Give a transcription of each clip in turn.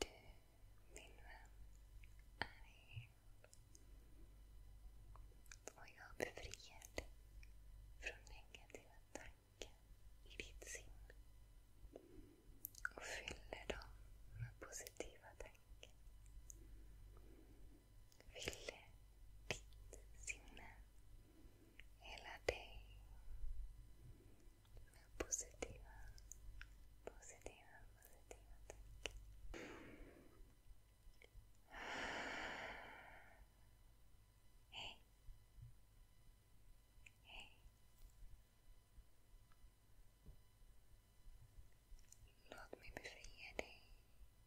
Du, min vän, är här. Och jag befriar dig från negativa tankar i ditt sinne. Och fyller dem med positiva tankar. Fyller ditt sinne, hela dig med positiva, positiva, positiva tankar. Hej. Hej. Låt mig befria dig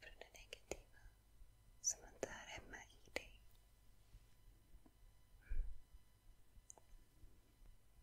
från det negativa som inte är hemma i dig.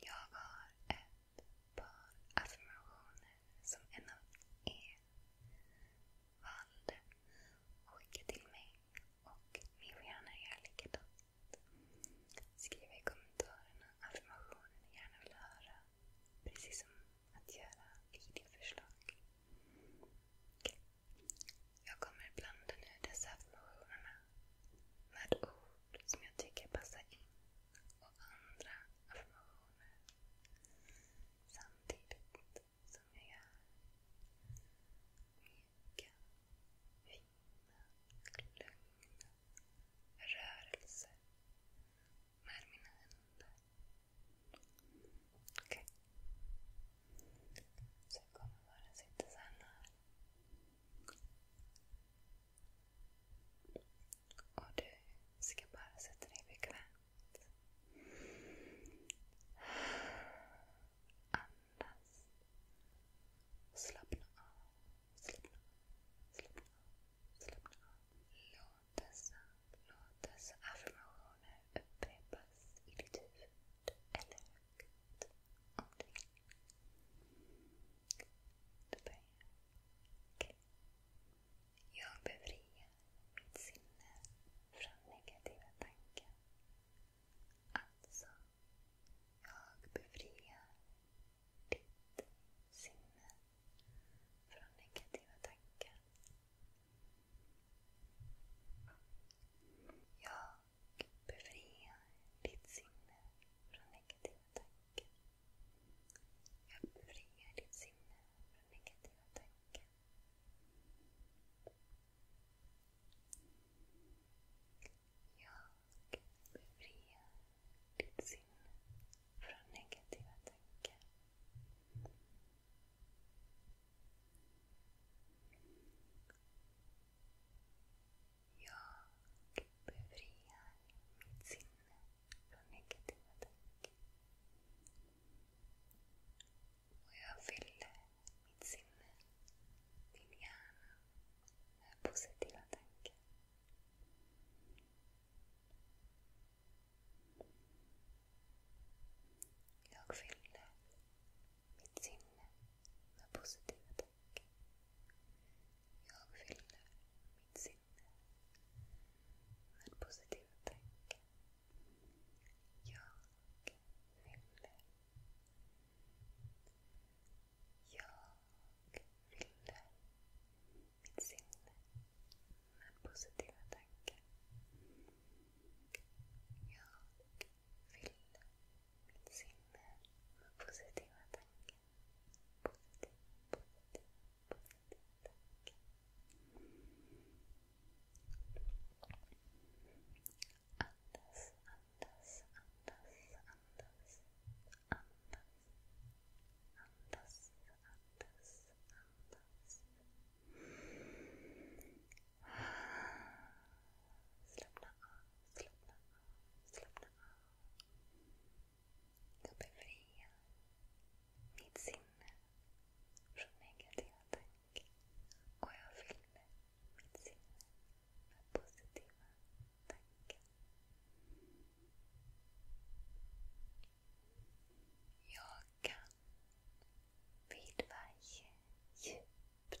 Jag har ett par affirmationer som en av er valde att skicka till mig. Och ni får gärna göra likadant. Skriv i kommentarerna affirmationer ni gärna vill höra. Precis som att göra videoförslag. Okay. Jag kommer blanda nu dessa affirmationerna med ord som jag tycker passar in och andra affirmationer samtidigt som jag gör mjuka, fina, lugna rörelser med mina händer. Okay. Så jag kommer bara sitta så här. Och du ska bara sätta dig bekvämt. Andas. Slappna av. Slappna av. Slappna av. Slappna av. Låt dessa, låt dessa affirmationer upprepas i ditt huvud. Eller Good. Omkring. Då börjar jag. Okay. Jag befriar mitt sinne från negativa tankar. Alltså, jag befriar ditt sinne från negativa tankar. Jag befriar ditt sinne från negativa tankar. Jag befriar ditt sinne från negativa tankar. Jag befriar ditt sinne från negativa tankar. Jag befriar mitt sinne från negativa tankar. Och jag fyller mitt sinne, min hjärna, med positiva tankar. Jag fyller mitt sinne med positiva tankar. Jag fyller mitt sinne med positiva tankar. Jag fyller. Jag fyller mitt sinne med positiva tankar. Jag Fyll mitt sinne med positiva tankar. Positiv, positiv, positiv tanke. Andas, andas, andas, andas. Andas, andas, andas, andas. Slappna av, slappna av, slappna av. Jag befriar mitt sinne från negativa tankar och jag fyller mitt sinne med positiva tankar. Jag kan vid varje djupt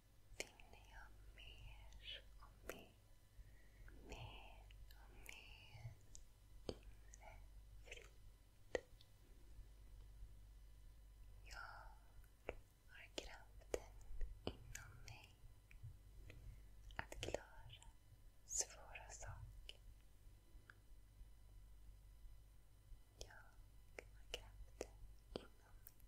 finner jag mer och mer, mer och mer inre frid. Jag har kraften inom mig att klara svåra saker. Jag har kraften inom mig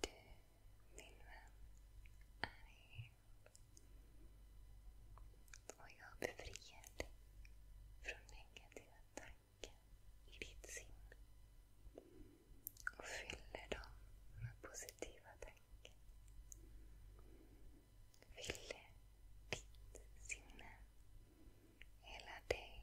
Du, min vän, är hel. Och jag befriar dig från negativa tankar i ditt sinne. Och fyller dem med positiva tankar. Fyller ditt sinne, hela dig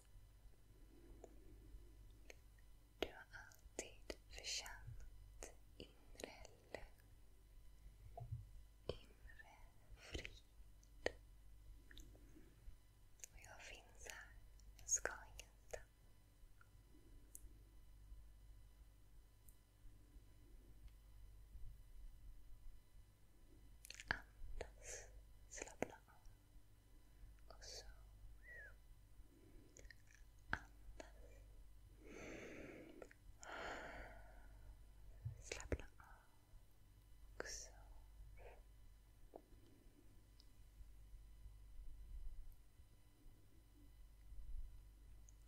Du har alltid förtjänat inre lugn, inre frid. Och jag finns här. Jag ska ingenstans. Andas. Slappna av. Och så andas. Slappna av. Och så.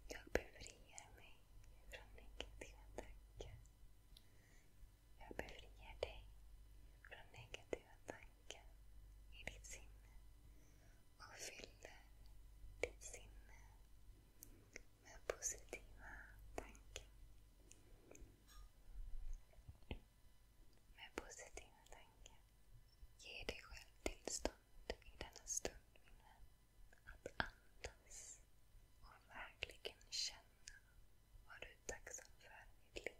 Jag befriar mig från negativa tankar. Jag befriar dig från negativa tankar i ditt sinne och fyller ditt sinne med positiva tankar. Med positiva tankar. Ge dig själv tillstånd i denna stund, min vän, att andas och verkligen känna var du tacksam för mitt liv?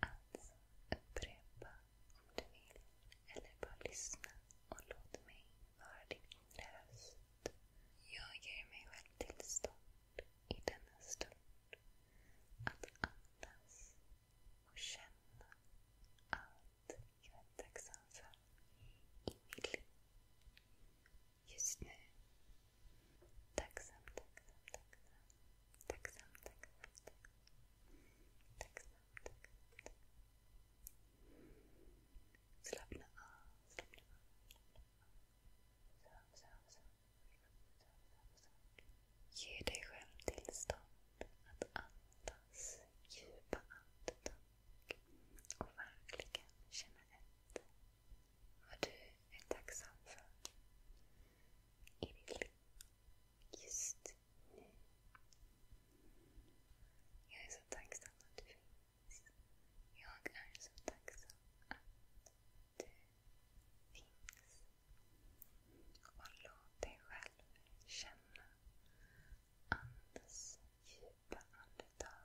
Alltså, upprepa om du vill. Eller bara lyssna och låt mig vara din inre röst. Jag ger mig själv tillstånd i denna stund att andas och känna allt jag är tacksam för i mitt liv. Just nu Tacksam, tacksam, tacksam. Tacksam, tacksam, tacksam. Tacksam, tacksam, tacksam. Slappna av, slappna av. Sov, sov, sov. Ge dig själv tillstånd att andas djupa andetag och verkligen känna efter vad du är tacksam för i ditt liv just nu. Jag är så tacksam att du finns. Jag är så tacksam att du finns. Och låt dig själv känna andas djupa andetag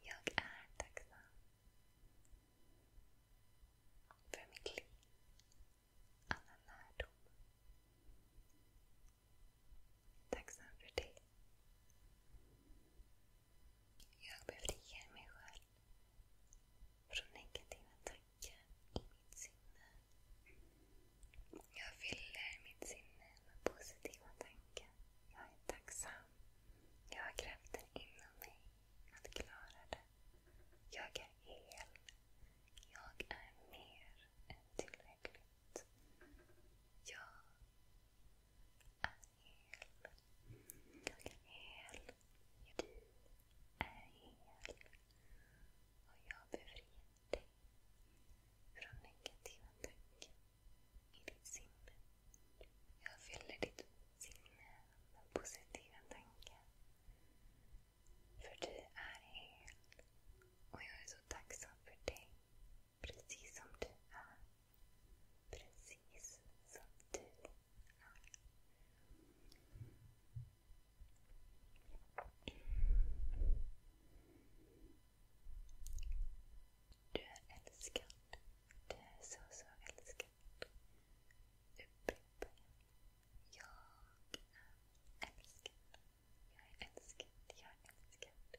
Jag är tacksam för mitt liv, alla lärdom. Tacksam för dig. Jag befriar mig själv från negativa tankar i mitt sinne. Jag fyller mitt sinne med positiva tankar. Jag är tacksam. Jag har kraften inom mig att klara det. Jag är hel. Jag är mer än tillräckligt. Jag är hel. Jag är hel. Du är hel. Och jag befriar dig från negativa tankar. il sinne e la fjällridsutsikterna var För du är hel och jag för dig. Precis som du är. Precis som Du är älskad. Du är er så, så älskad. Upprepa igen. Jag är älskad. Jag är älskad. Jag är älskad.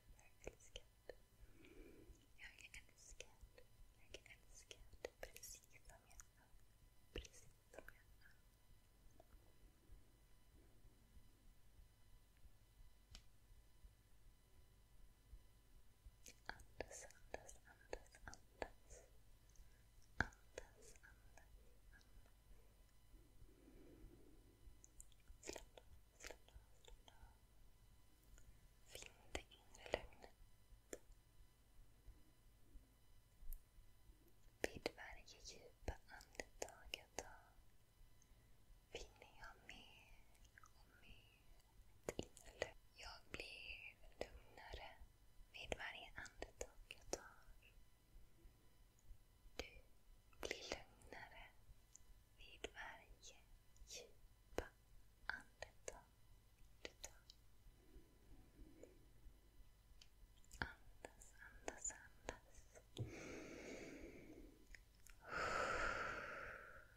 Jag är älskad. Jag är älskad. Jag är älskad. Andas, andas, andas, andas. Andas, andas, andas. Slappna av, slappna av, slappna av. Finn det inre lugnet. Vid varje djupa andetag jag tar vill jag mer och mer till. Jag blir lugnare vid varje andetag jag tar. Du blir lugnare vid varje djupa andetag du tar. Andas, andas, andas.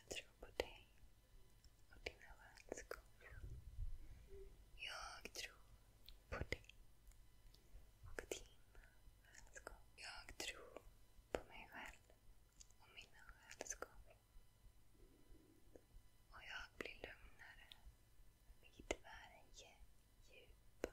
Jag tror på dig och dina vänskor. Jag tror på dig och dina vänskor. Jag tror på mig själv och mina vänskor. Och jag blir lugnare vid varje djup.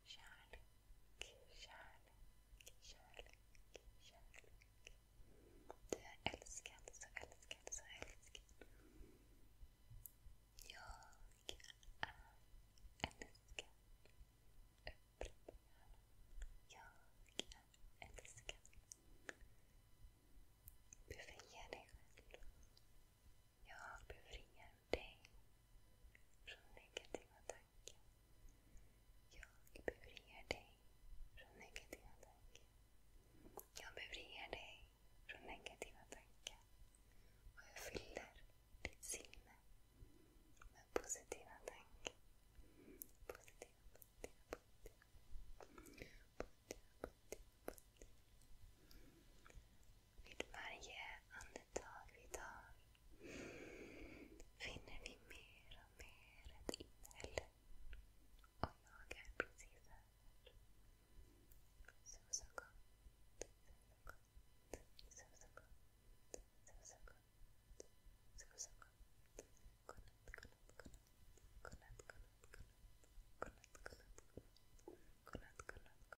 kärlek, kärlek, kärlek, kärlek. Du är älskad, så älskad, så älskad. Jag är älskad. Upprepa gärna. Jag är älskad. Befria dig själv Jag befriar dig från negativa tankar. Jag befriar dig från negativa tankar. Jag befriar dig från negativa tankar. Och jag fyller ditt Vid varje andetag vi tar finner vi mer och mer ett innehåll. Och jag är precis här. Så, så gott. Så, så gott. Så, så gott. Så, så gott. Godnatt, godnatt, godnatt. Godnatt, godnatt, godnatt. Godnatt, godnatt, godnatt. Godnatt, godnatt,